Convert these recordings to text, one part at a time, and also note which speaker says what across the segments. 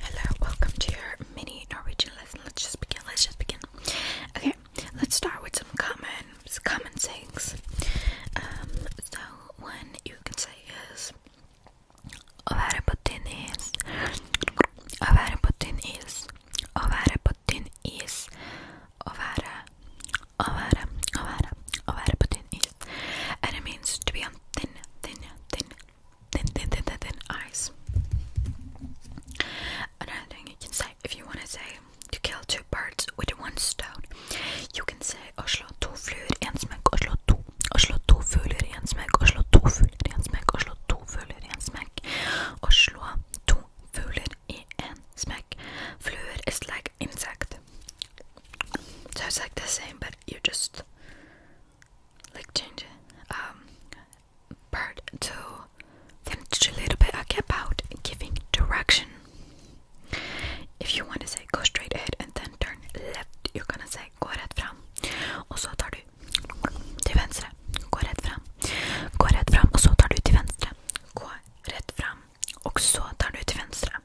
Speaker 1: Hello, welcome to your mini Norwegian lesson. Let's just begin. Let's just begin. Okay, let's start with some common common sayings. Um, so one you can say is å være på tynn is. Å være på tynn is. Å være på tynn is. Å være Å være Å være Å være på tynn is. And it means to be on thin, thin, thin, thin, thin, thin, thin, eyes. Another thing you can say, if you want to say to kill two birds with one stone, you can say Oslo to fluor en smäck, Oslo to, Oslo to fluor en smäck, Oslo to fluor en smäck, Oslo to fluor en smäck, to fluor i en is like insect. So it's like the same, but you just like change um part to finish a little bit about giving direction. If you want to say go straight ahead and then turn left, you're gonna say go rätt fram. Och så tar du till vänster. Gå rätt fram. Gå rätt fram och så tar du till vänster. Gå rätt fram och så tar du till vänster.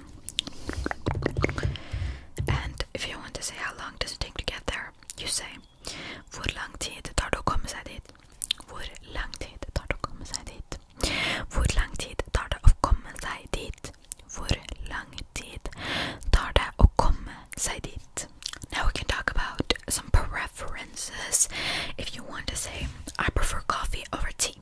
Speaker 1: station. And if you want to say how long does it take to get there, you say Hvor lang tid tar det å komme seg dit? Hvor lang tid tar det å komme seg dit? Hvor lang tid tar det å komme seg dit? Hvor lang tid tar det å komme seg dit? Now we can talk about some preferences. If you want to say I prefer coffee over tea.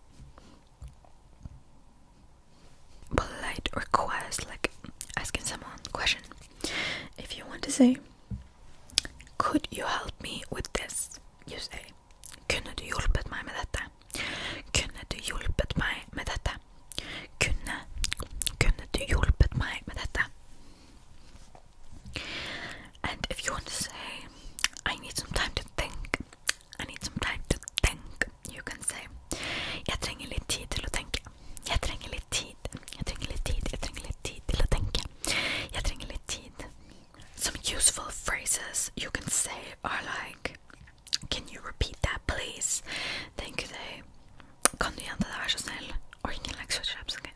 Speaker 1: polite request like asking someone question if you want to say could you help me with this you say kunde du hjulpet meg med dette kunde du hjulpet meg med dette kunde kunde du hjulpet meg med dette and if you want to say, I need some time to think, I need some time to think, you can say, jag tränger lite tid till att tänka, jag tränger lite tid, jag tränger lite tid, jag tränger lite tid till att tänka, jag tränger lite tid. Some useful phrases you can say are like, can you repeat that please? Thank you, day. Kan du göra det där så snäll? Or you can like switch it up, okay?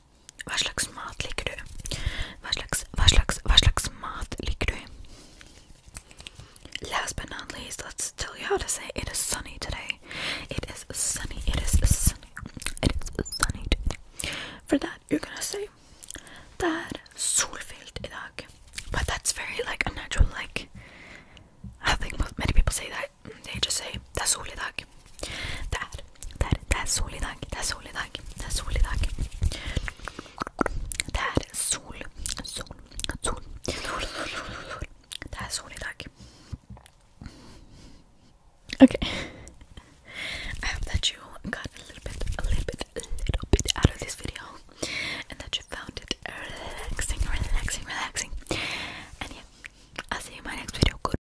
Speaker 1: Vad slags du? Vad slags, vad slags, du? Last but not least, let's tell you how to say it is sunny today. It is sunny, it is sunny, it is sunny today. For that, you're gonna say that solfyllt idag. But that's very like unnatural, like I think many people say that. They just say that's all idag tack. Där, där, där solig dag, där er solig dag, där er solig dag. Där er sol, sol, sol, sol, sol. Där solig dag. Okay. that you got a little bit, a little bit, a little bit out of this video, and that you found it relaxing, relaxing, relaxing. And yeah, I'll see you in my next video. Good.